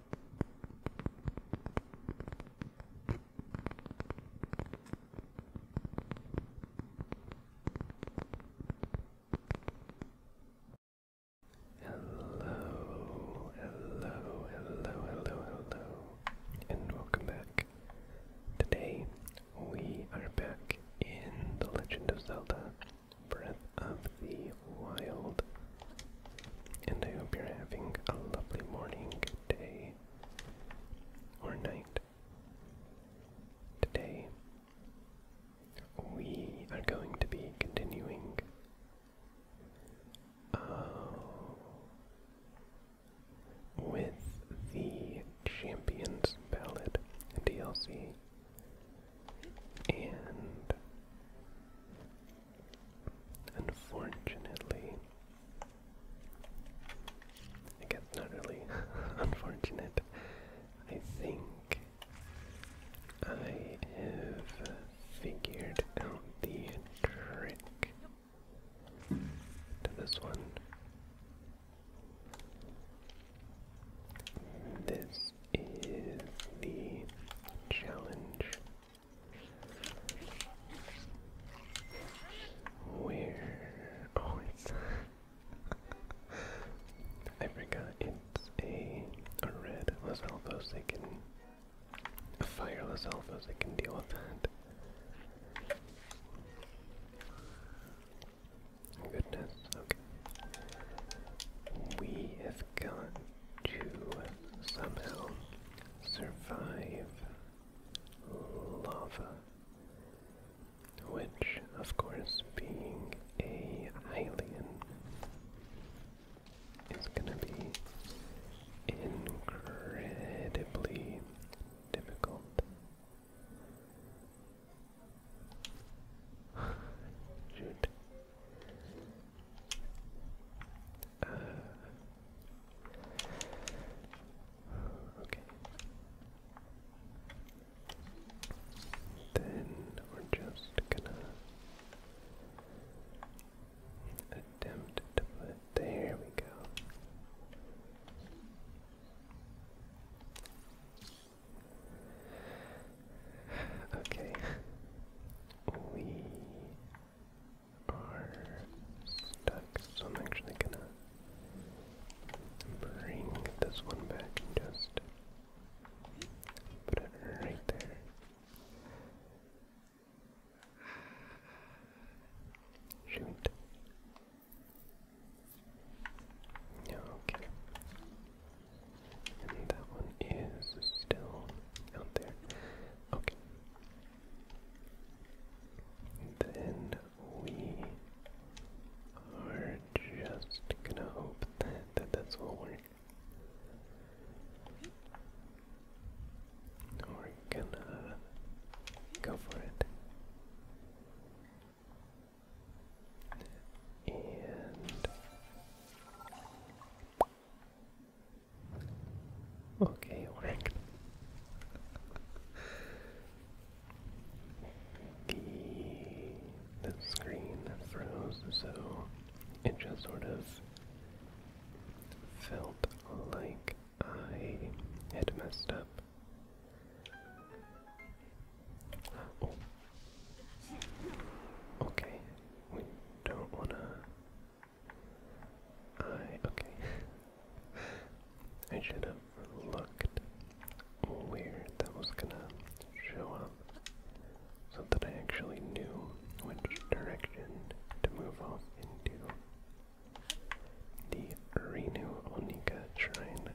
Hello, hello, hello, hello, hello, and welcome back. Today we are back in The Legend of Zelda Breath of the Wild. And I hope you're having a lovely morning, day, or night. Today, we are going to be continuing. Uh, with the Champions Ballad DLC and unfortunately, I guess not really unfortunate. I think I have figured out the trick to this one. This is the challenge where oh it's I forgot it's a a red Los Alvos they can a fire Los Alvos can deal with that. Goodness, okay. We have got to somehow survive lava, which, of course, being a alien, is going to be incredibly difficult. Shoot. Uh, okay. Then we're just gonna attempt to put. There we go. Okay. We are stuck, so I'm actually gonna bring this one back and just put it right there. Shoot. Okay. And that one is still out there. Okay. Then we are just gonna hope that, that this will work. We're gonna go for it. And Okay, korrekt. The, the screen froze, so it just sort of felt like I had messed up. Oh. Okay, we don't wanna. I. Okay. I should have looked where that was gonna show up so that I actually knew which direction to move off into. The Renu Onika Shrine.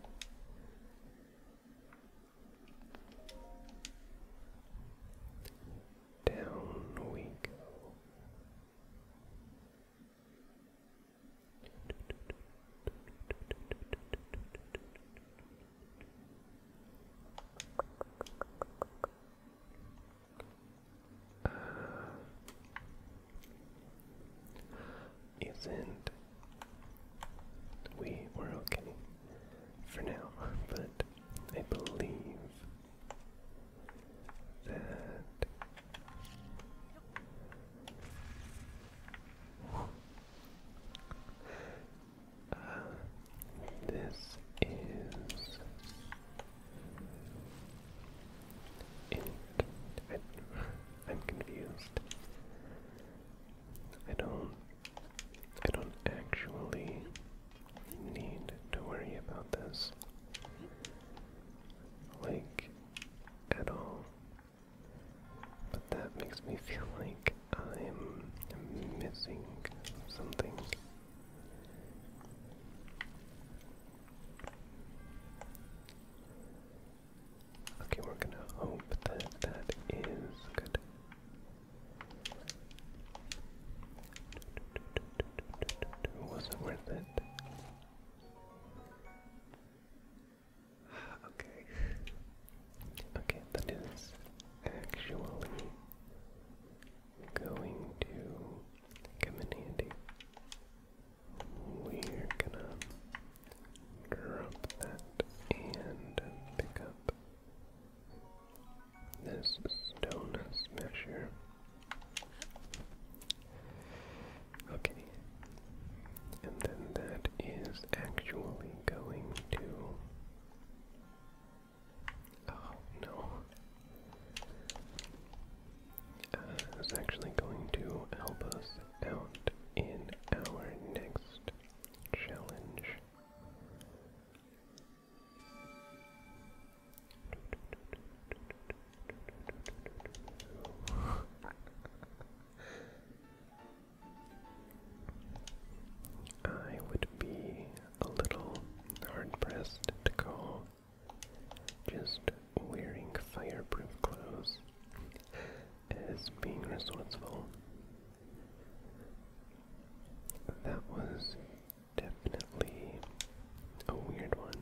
Down we go. Uh, isn't we we're okay for now, but I believe that uh, this is it. I'm confused. I don't I don't actually need to worry about this. Like, at all. But that makes me feel like I'm missing something. Okay, we're gonna hope that that is good. Was it worth it? Okay. Okay, that is actually going to come in handy. We're gonna drop that and pick up this stone smasher. Okay, and then that is actually going to. Oh no. Uh, actually going to help us out in our next challenge. I would be a little hard pressed to call just wearing fireproof clothes as being resourceful. That was definitely a weird one.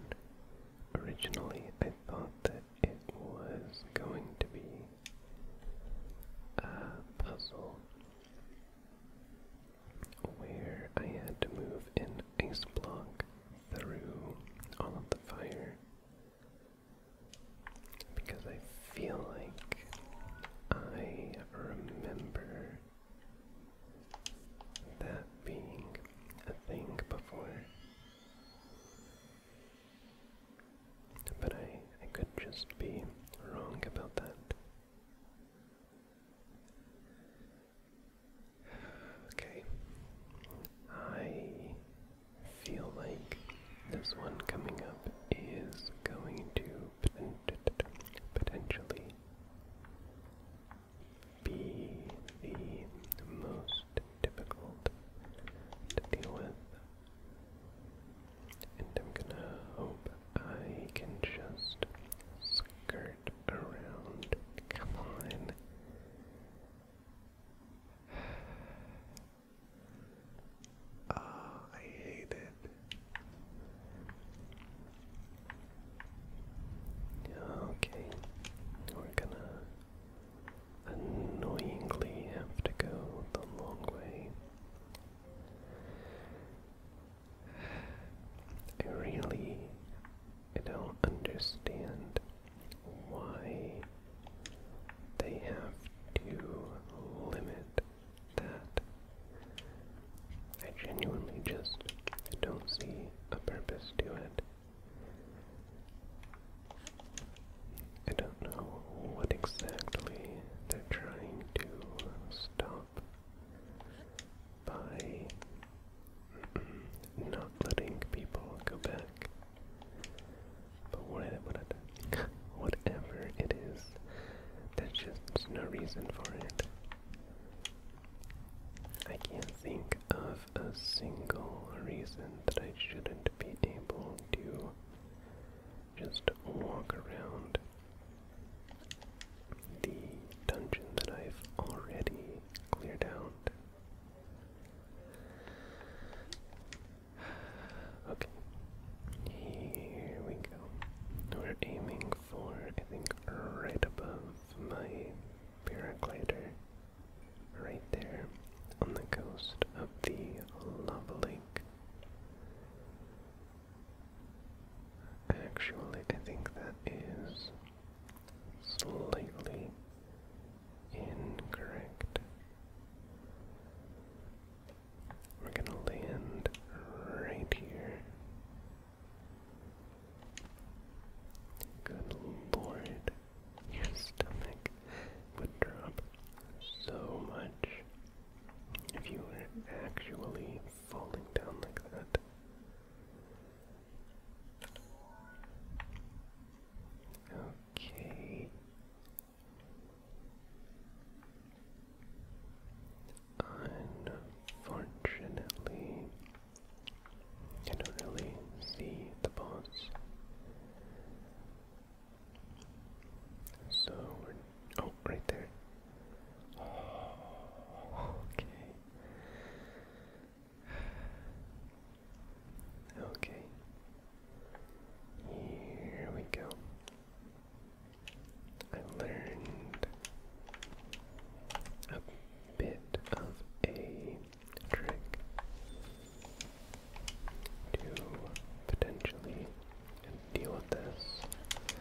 Originally, I thought that it was going to be a puzzle where I had to move an ice block through all of the fire because I feel like I remember that being a thing before. But I, I could just be wrong about that. Okay. I feel like this one coming up is going to potentially be the most difficult to deal with. And I'm gonna hope I can just skirt around. Come on. Ah, I hate it. Okay, we're gonna annoyingly have to go the long way. I really I don't understand why they have to limit that I genuinely just don't see a purpose to it. I don't know what exactly they're trying to stop by not letting people go back. But what, what, Whatever it is, there's just no reason for it. I can't think of a single reason that I shouldn't be able to just walk around the dungeon that I've already cleared out. Okay. Here we go. We're aiming for, I think, right above my paraglider. Right there on the coast of the lava Actually, I think that is slightly incorrect. We're gonna land right here. Good lord, your stomach would drop so much if you were actually falling down like that. Okay. Unfortunately, I don't really see the boss. So we're oh right there. okay. Okay. Here we go. I learned a bit of a trick to potentially deal with this. Okay.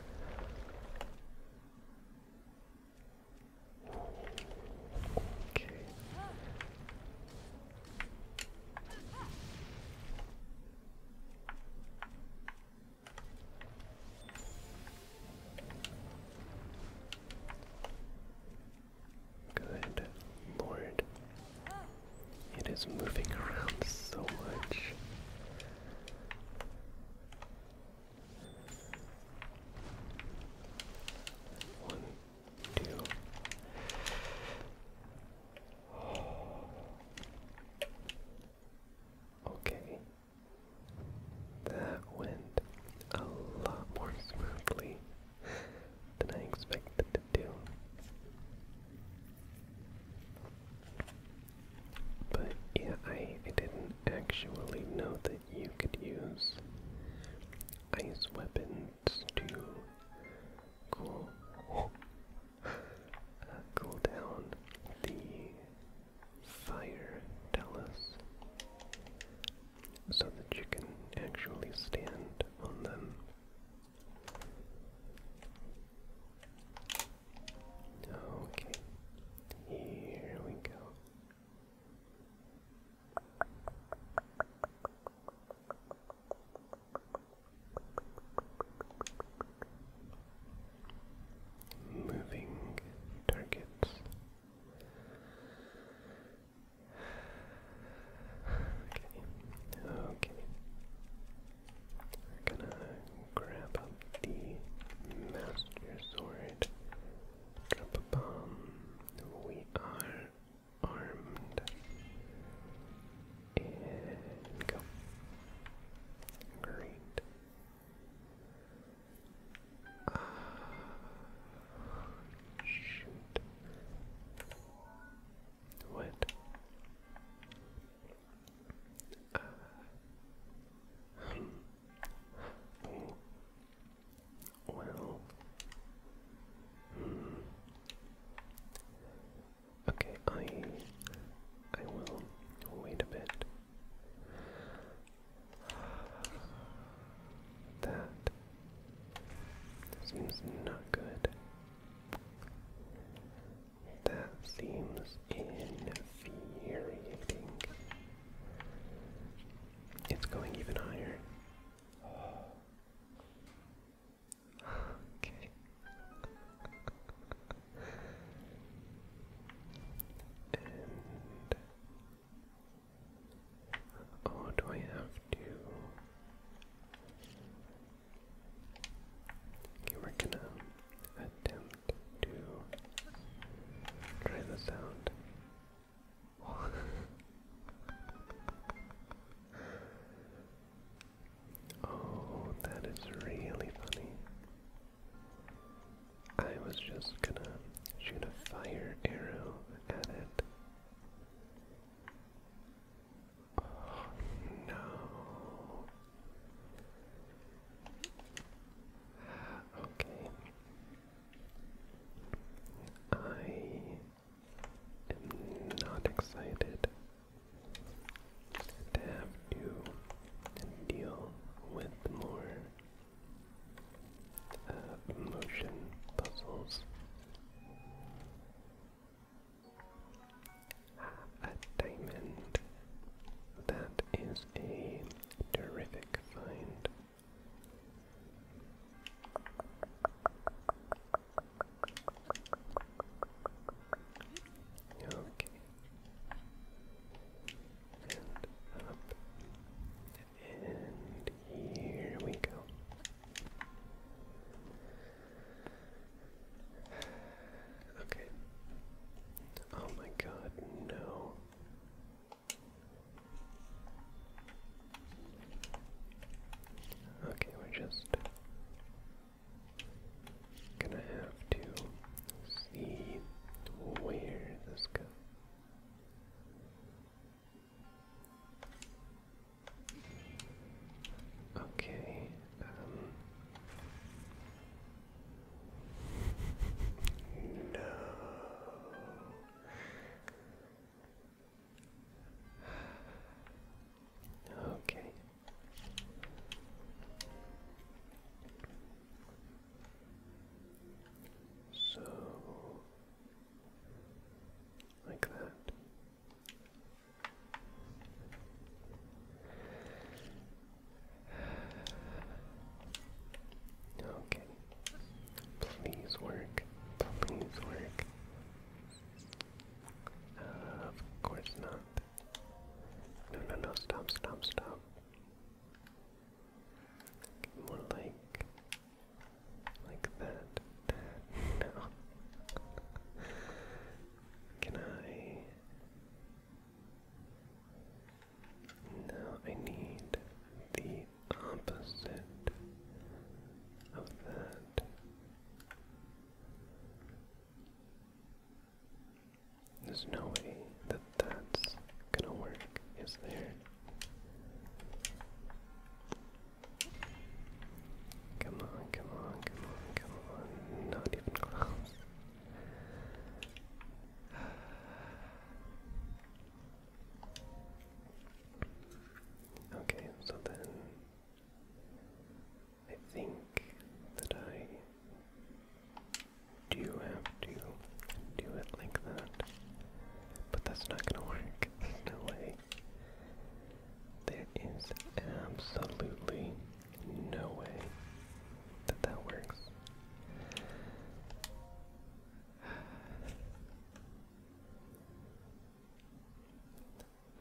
Good lord. It is moving around so much. One, two. Okay. That went a lot more smoothly than I expected to do. But yeah, I, I didn't actually know that you could use ice weapons to cool cool down the fire talus so that you actually stand on them. Okay, here we go. Moving targets. Okay, okay. We're gonna grab up the Master Sword, drop a bomb. We are armed. And go. shoot. What? Uh, hmm. Hmm. Okay, I I will wait a bit. That seems not good. That seems infuriating. It's going even higher. Okay. and oh, do I have to? we're gonna attempt to try the sound. Oh, that is really funny. I was just gonna shoot a fire arrow at it. Oh, no. Okay. I am not excited to have to deal with more uh, motion puzzles. A diamond. That is a terrific find. Okay. And up. And here we go. Okay. Oh my god, no. Okay, we're just Gonna have to see where this goes. Okay, um, No Okay, so, like that. Okay. Please work. Please work. of course not. No, no, no, stop, stop, stop. More like, like that, no. Can I? No, I need the opposite of that. There's no way that that's gonna work, is there? Come on, come on, come on, come on. Not even close. Okay, so then I think that I do have to do it like that, but that's not gonna work. There's no way. There is absolutely no way that that works.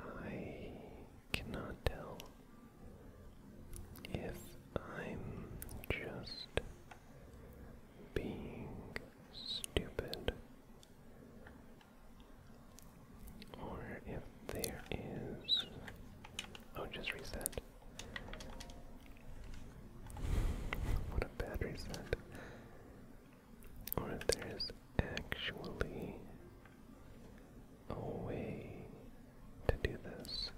I cannot tell if I'm just being stupid or if there is. Oh, just reset. What a bad reset. Or there is actually a way to do this.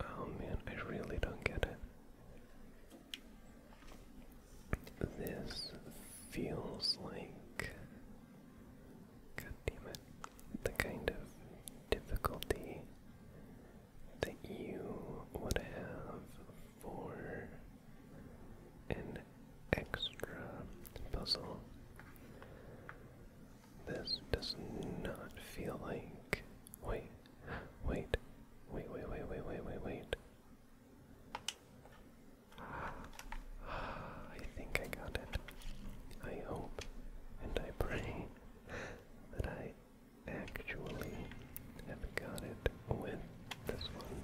Oh man, I really don't get it. This feels like God damn it. The kind of difficulty that you would have for an extra puzzle. This does not feel like. Wait, wait, wait, wait, wait, wait, wait, wait, wait. I think I got it. I hope and I pray that I actually have got it with this one.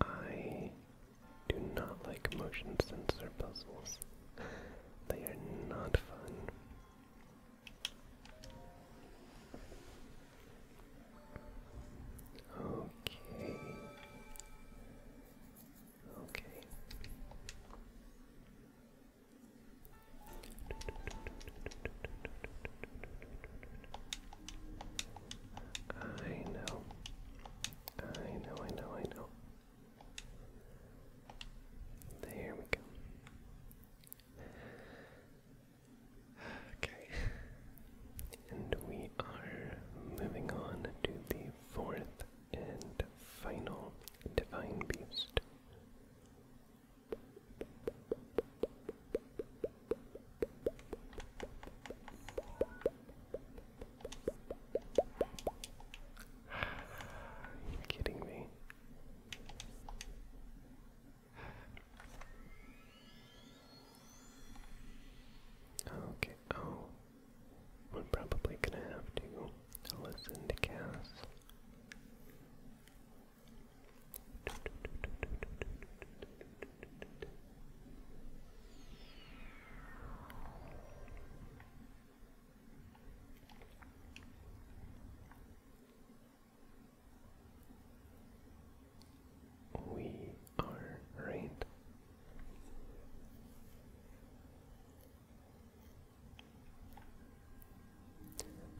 I do not like motion sensor puzzles. They are not fun. Okay. Okay. I know. I know, I know, I know. There we go. Okay. And we are moving on to the fourth and final divine beast. kidding me? Okay, oh, we're probably gonna have to listen to Cass. We are right.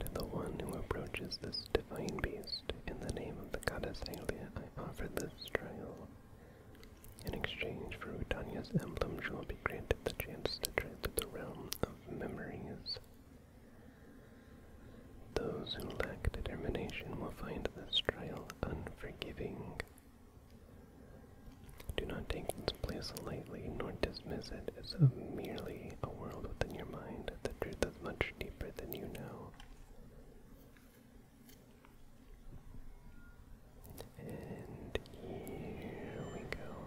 To the one who approaches this divine beast in the name of the goddess Aelia, I offer this trial. In exchange for Utanya's emblem, you will be granted the chance to tread the realm of memories. Those who lack determination will find this trial unforgiving. Do not take this place lightly, nor dismiss it as merely a world within your mind. The truth is much deeper than you know. And here we go.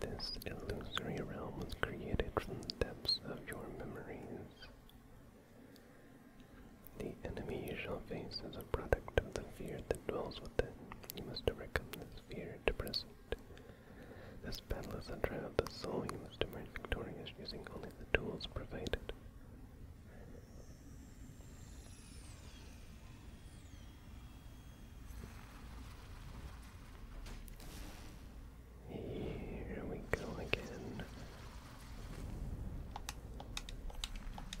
This illusory realm was created from the depths of your memories. The enemy you face is a product of the fear that dwells within. You must overcome this fear to present. This battle is a trial of the soul. You must emerge victorious using only the tools provided. Here we go again.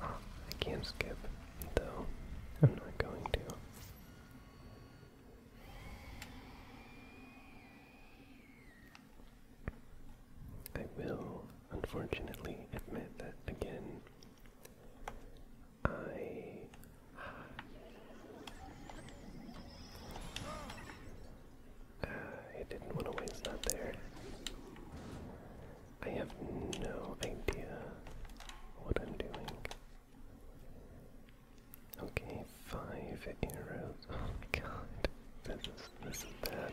I can't skip, though. I'm not going to. I will, unfortunately, admit that again. I. Uh, I didn't want to waste that there. I have no idea what I'm doing. Okay, five arrows. Oh my god. This is this is bad.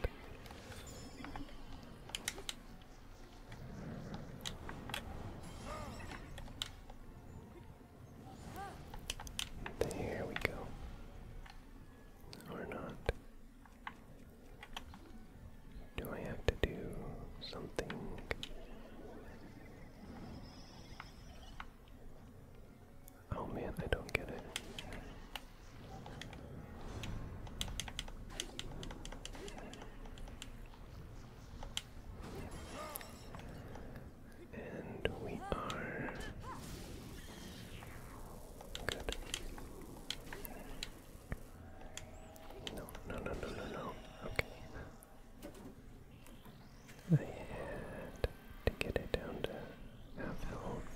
There we go. Or not. Do I have to do something? Oh man, I don't get it. And we are good. No, no, no, no, no, no. Okay. I had to get it down to half health.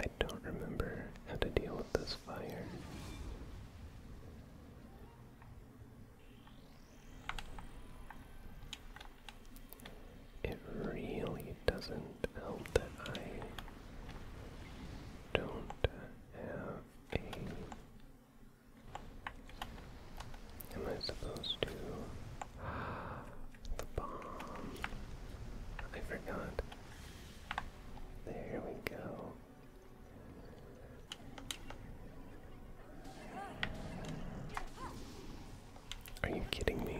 I don't remember how to deal with this fire. It really doesn't help that I don't have a. Am I supposed to? the bomb. I forgot. There we go. Are you kidding me?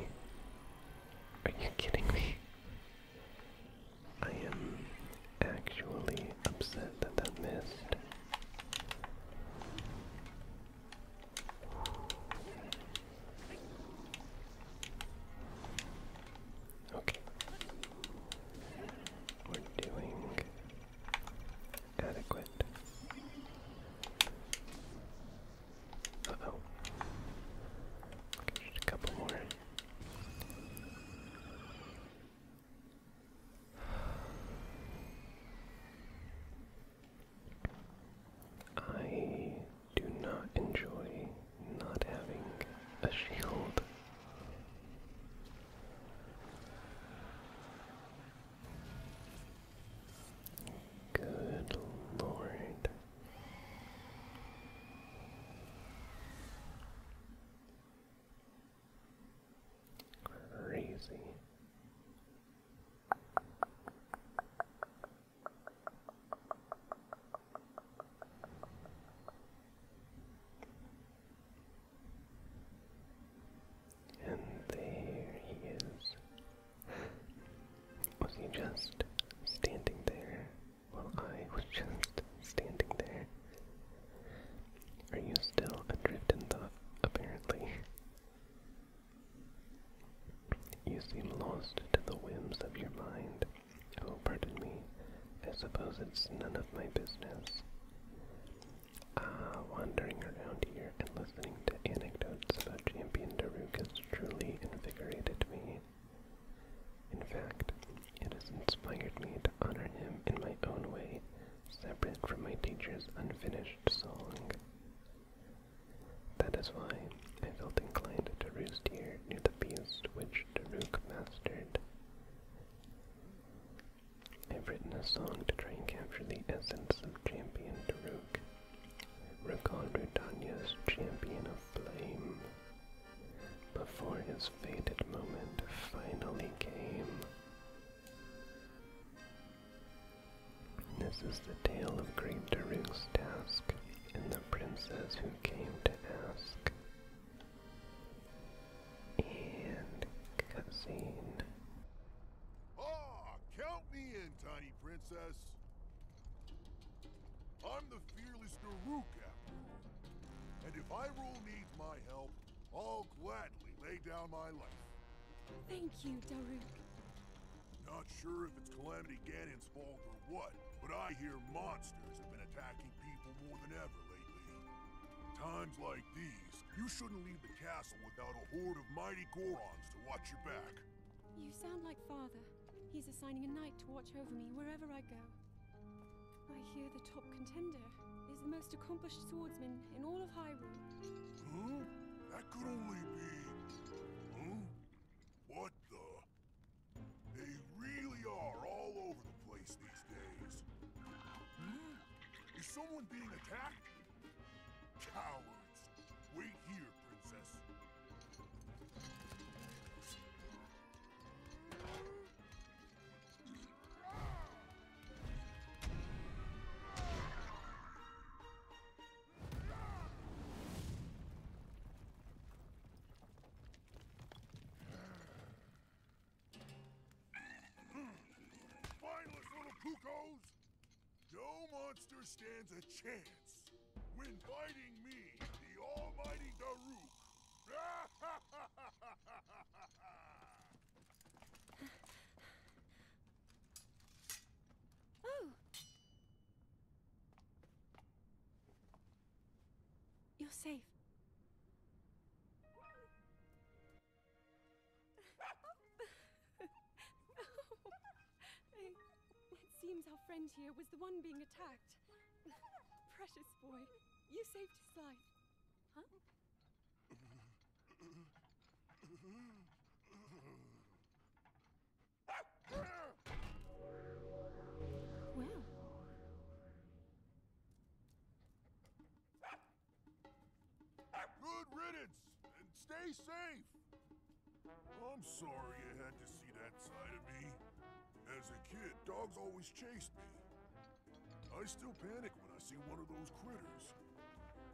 Are you kidding me? I am actually upset that that missed. Okay. We're doing Adequate. Uh couple more. I do not enjoy not having a shield. Good Lord. Crazy. And there he is. Was he just standing there while I was just standing there? Are you still adrift in thought, apparently? You seem lost to the whims of your mind. Oh, pardon me. I suppose it's none of my business. Uh, wandering around here and listening to anecdotes about Champion has truly invigorated me. In fact, it has inspired me to honor him in my own way, separate from my teacher's unfinished song. That is why I felt inclined to roost here near the beast which Derook mastered. I've written a song to try and capture the essence of Champion Daruk. Recall Rudanya's Champion of Flame. Before his fated moment finally came. This is the tale of Great Daruk's task and the princess who came to ask. And cutscene. Ah, count me in, tiny princess. I'm the fearless Daruk, And if Hyrule needs my help, I'll gladly lay down my life. Thank you, Daruk. Not sure if it's Calamity Ganon's fault or what, but I hear monsters have been attacking people more than ever lately. Times like these, you shouldn't leave the castle without a horde of mighty Gorons to watch your back. You sound like father. He's assigning a knight to watch over me wherever I go. I hear the top contender is the most accomplished swordsman in all of Hyrule. Huh? That could only be... Huh? What the... They really are all over the place these days. Is someone being attacked? Cowards! Wait here, princess. Mindless hmm. little cuckoos! No monster stands a chance when fighting me, the almighty Daruk. oh! You're safe. it seems our friend here was the one being attacked. Precious boy, you saved his life. Huh? well. Good riddance, and stay safe! I'm sorry you had to see that side of me. As a kid, dogs always chased me. I still panic when I see one of those critters.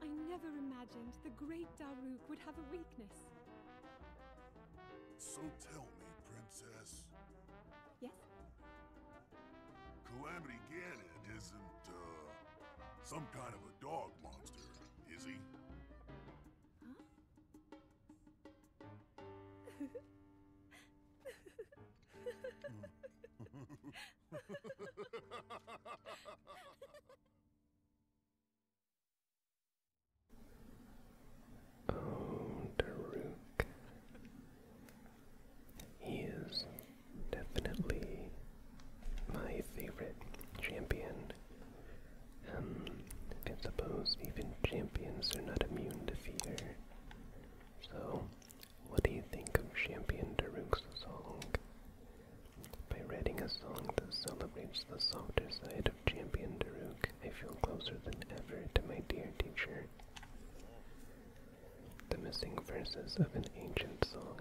I never imagined the great Daruk would have a weakness. So tell me, Princess. Yes? Calamity Ganon isn't, uh, some kind of dog monster, is he? oh, Daruk. He is definitely my favorite champion. Um, I suppose even champions are not immune to fear. So, what do you think of Champion Daruk's song? By writing a song that celebrates the softer side of Champion Daruk, I feel closer than ever to my dear teacher. The missing verses of an ancient song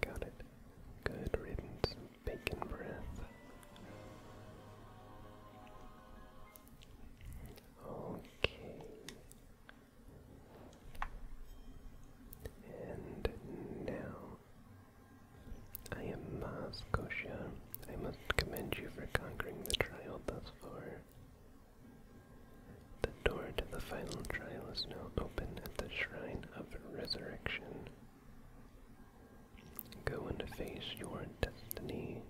Got it. Good riddance, bacon breath. Okay. And now I am Moscosia. I must commend you for conquering the trial thus far. The door to the final trial is now open at the Shrine of Resurrection. Go and face your destiny.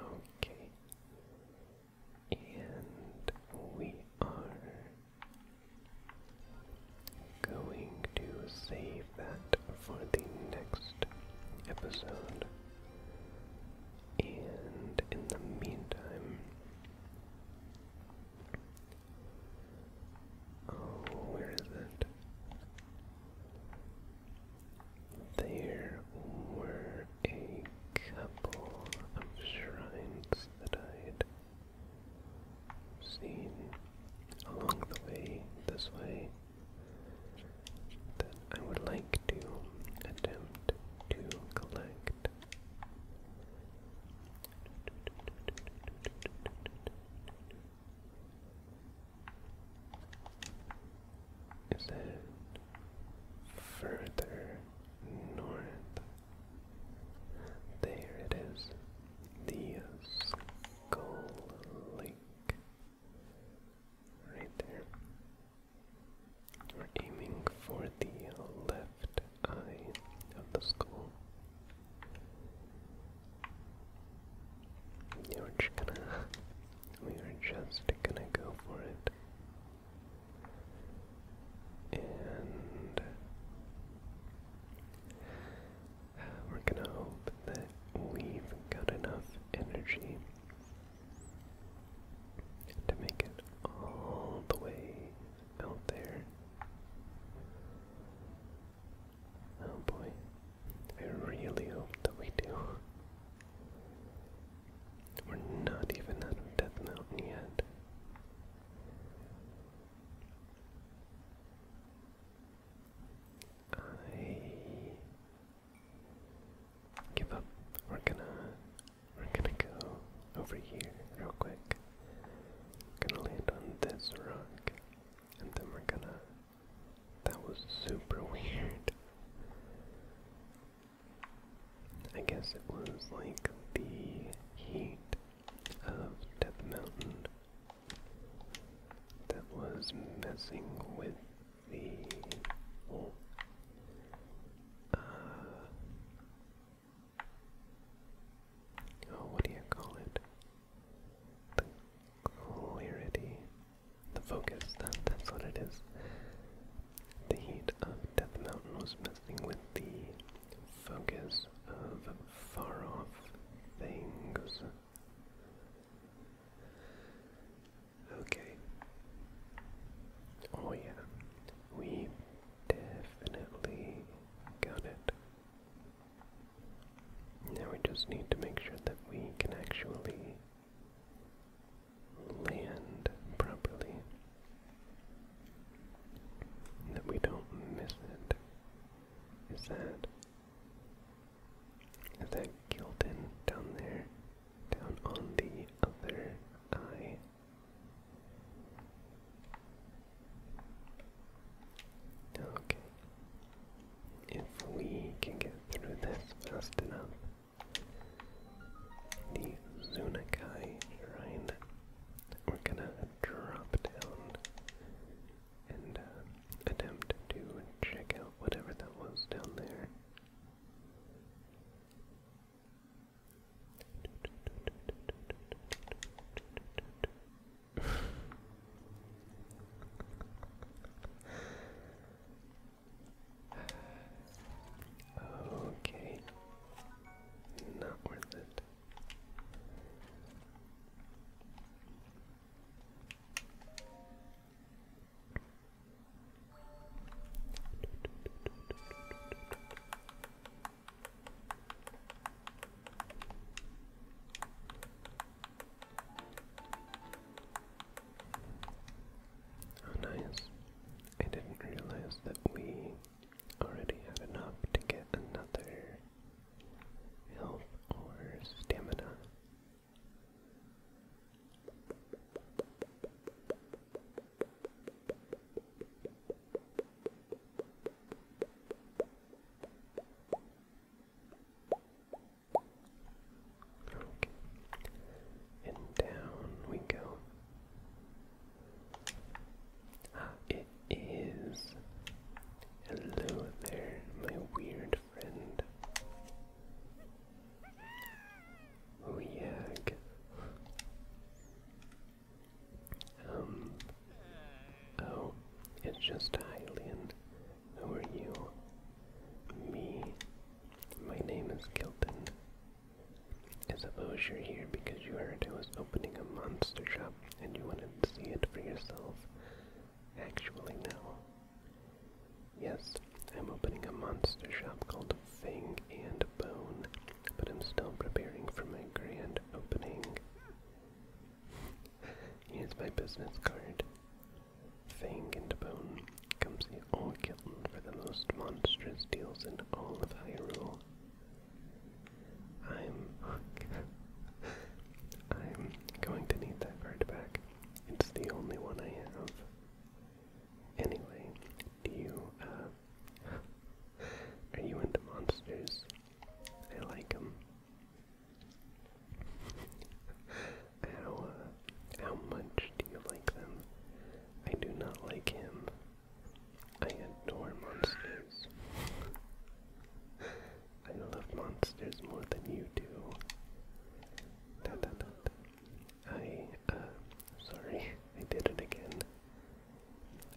Okay. And we are going to save that for the next episode. And in the meantime, oh, where is it? There were a couple of shrines that I had seen along the way, this way that I would like to attempt to collect. Is further north? There it is, the Skull Lake, right there. We're aiming for the left eye of the skull. We're just gonna, we are just gonna go for it. And we're gonna hope that we've got enough energy to make it all the way out there. Oh boy, I really hope that we do. We're not even out of Death Mountain yet. I give up. We're gonna we're gonna go over here real quick. Gonna land on this rock. And then we're gonna. That was super weird. I guess it was like the heat of Death Mountain that was messing with Bon. Uh, oh, what do you call it? The clarity, the focus. that's what it is. The heat of Death Mountain was messing with the focus of far off things. Okay. Oh, yeah. We definitely got it. Now we just need to make sure that we can actually land properly. That we don't miss it. Is that. Is that Gildan down there? down on the other eye. Okay. If we can get through this fast enough, the Zunakai Shrine, we're gonna drop down and uh, attempt to check out whatever that was down there okay, not worth it. Oh, nice. I didn't realize that we already had enough to get another health or stamina. Okay. And down we go. Ah, it is. Hello there, my weird friend. Oh yeah. Um. Oh, it's just a Hylian. Who are you? Me. My name is Kilton. I suppose you're here because you heard I was opening a monster shop and you wanted to see it for yourself. Actually, no. Yes, I'm opening a monster shop called Fang and Bone, but I'm still preparing for my grand opening. Here's my business card. Fang and Bone. Come see all Kilton for the most monstrous deals in all of Hyrule. I'm... I'm going to need that card back. It's the only one I have. Anyway, do you, uh, are you into monsters? I like them. How, uh, how much do you like them? I do not like him. I adore monsters. I love monsters more than you do. Da, da, da, da. I, uh, sorry, I did it again.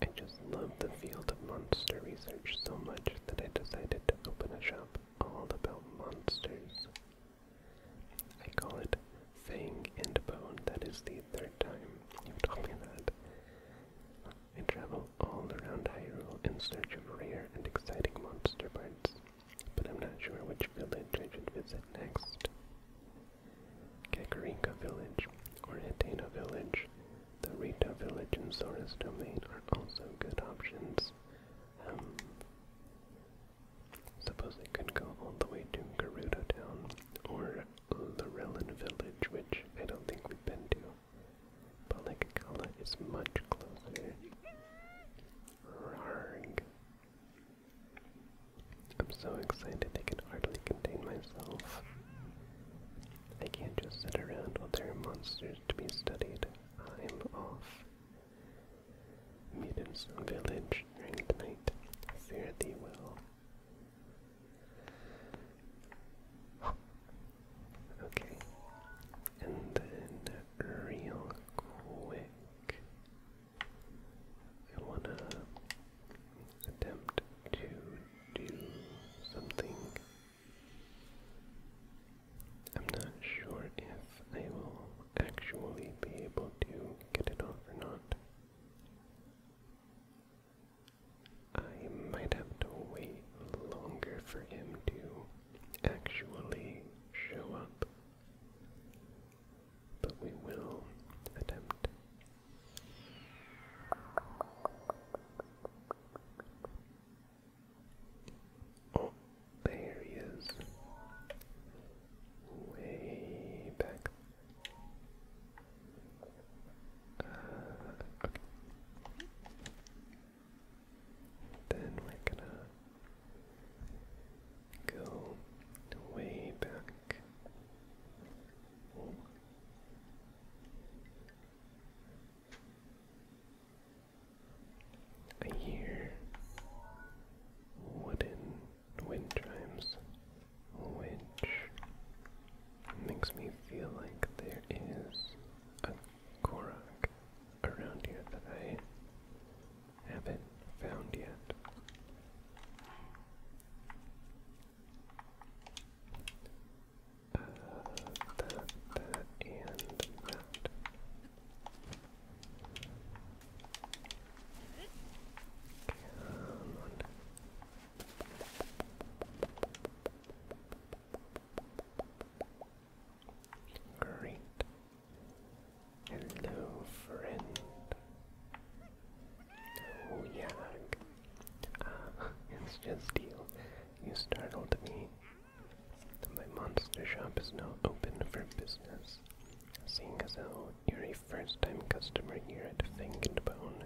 I just love the field of monster research so much that I decided to open a shop all about monsters. I call it Fang and Bone. That is the third time you've told me that. I travel all around Hyrule in search of rare and exciting monster parts but I'm not sure which village I should visit next. Kakarika Village or Hatena Village, the Rita Village and Sora's Domain are also good options. Um, suppose I could go all the way to Gerudo Town or Lorelin Village, which I don't think we've been to. But Balakakala is much closer. Rarg. I'm so excited I can hardly contain myself. I can't just sit around while there are monsters to be studied. I'm off. Meet in some village during the night. Fare thee well. okay. And then real quick. I want to attempt to do something. I'm not sure if I will actually be able to get it off or not. I might have to wait longer for him to actually show up but we will attempt. Oh, there he is. Way back. Uh, then we're gonna Go way back. I hear wooden wind chimes, which makes me feel like there is a Korok around here that I haven't found yet. Uh, that, that, and that. Great. Hello, friend. Oh, Yannick. Ah, it's just you. You startled me. My monster shop is now open for business. Seeing as how you're a first-time customer here at Think and Bone,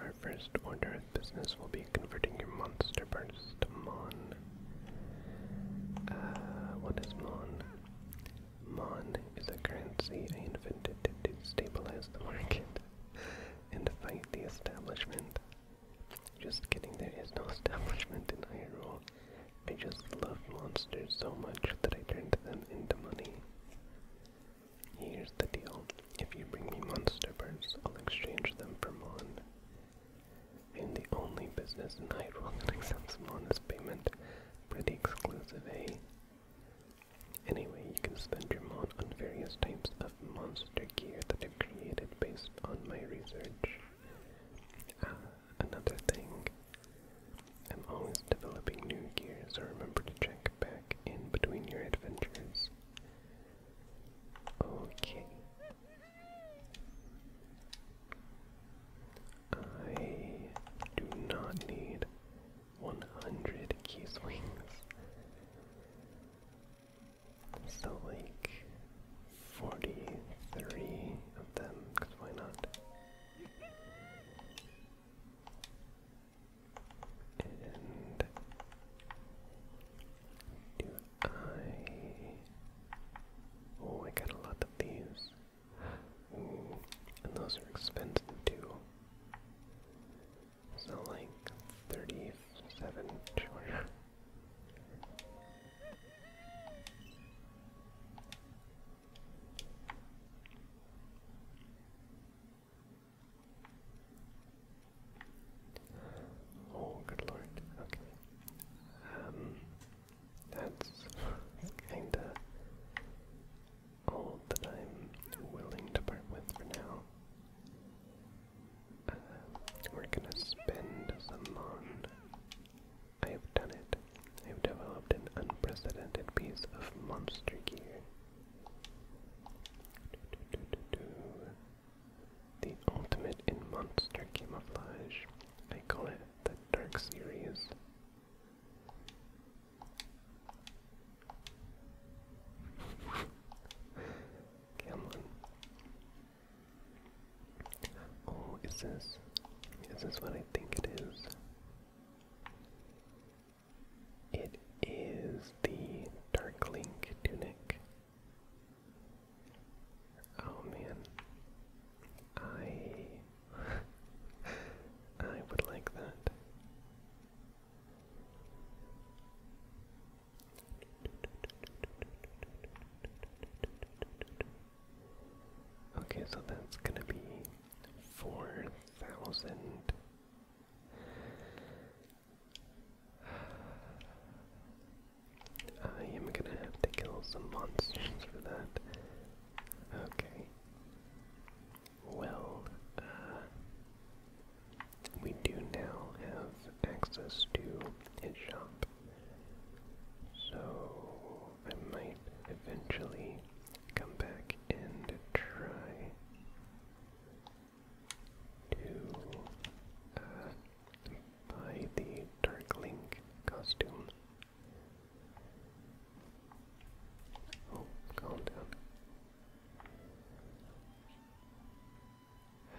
our first order of business will be converting your monster parts to Mon. Uh, what is Mon? Mon is a currency I invented to stabilize the market and fight the establishment. Just kidding, there is no establishment in Hyrule. I just love monsters so much that I turned them into money. Here's the deal. If you bring me monster birds, I'll exchange them for Mon and the only business in Hyrule that accepts bonus payment. Pretty exclusive, eh? Anyway, you can spend your mod on various types of monster gear that I've created based on my research. Ah, another thing. I'm always developing new gears, so remember to check back in between your adventures. Okay. I do not need 100 key swings. So, like 43 of them, because why not? And I oh I got a lot of these. Mm, and those are expensive too. So like thirty-seven sure. Oh, good lord. Okay. Um, that's kinda all that I'm willing to part with for now. Uh, we're gonna spend some on. I have done it. I have developed an unprecedented piece of monster gear. The ultimate in monster camouflage. I call it the Dark Series. Come Oh, is this is this what I think it is? It is the Dark Link tunic. Oh man. I I would like that. Okay, so that's gonna be four thousand. I am gonna have to kill some monsters for that. Okay. Well, uh, we do now have access to his shop. So I might eventually come back and try to uh, by the darkling costume. Oh, calm down.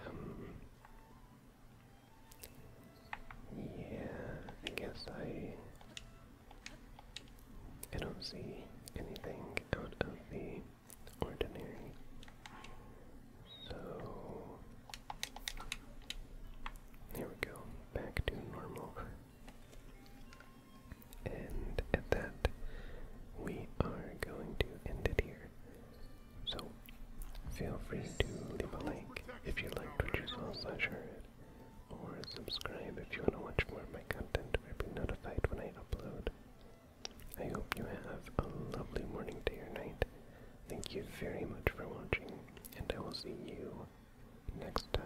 Um, yeah, I guess I. I don't see anything out of the ordinary. So there we go, back to normal. And at that, we are going to end it here. So, feel free to leave a like if you liked what you saw slash heard, or subscribe if you want to watch more of my content or be notified when I upload. I hope you have a lovely morning, day, or night. Thank you very much for watching, and I will see you next time.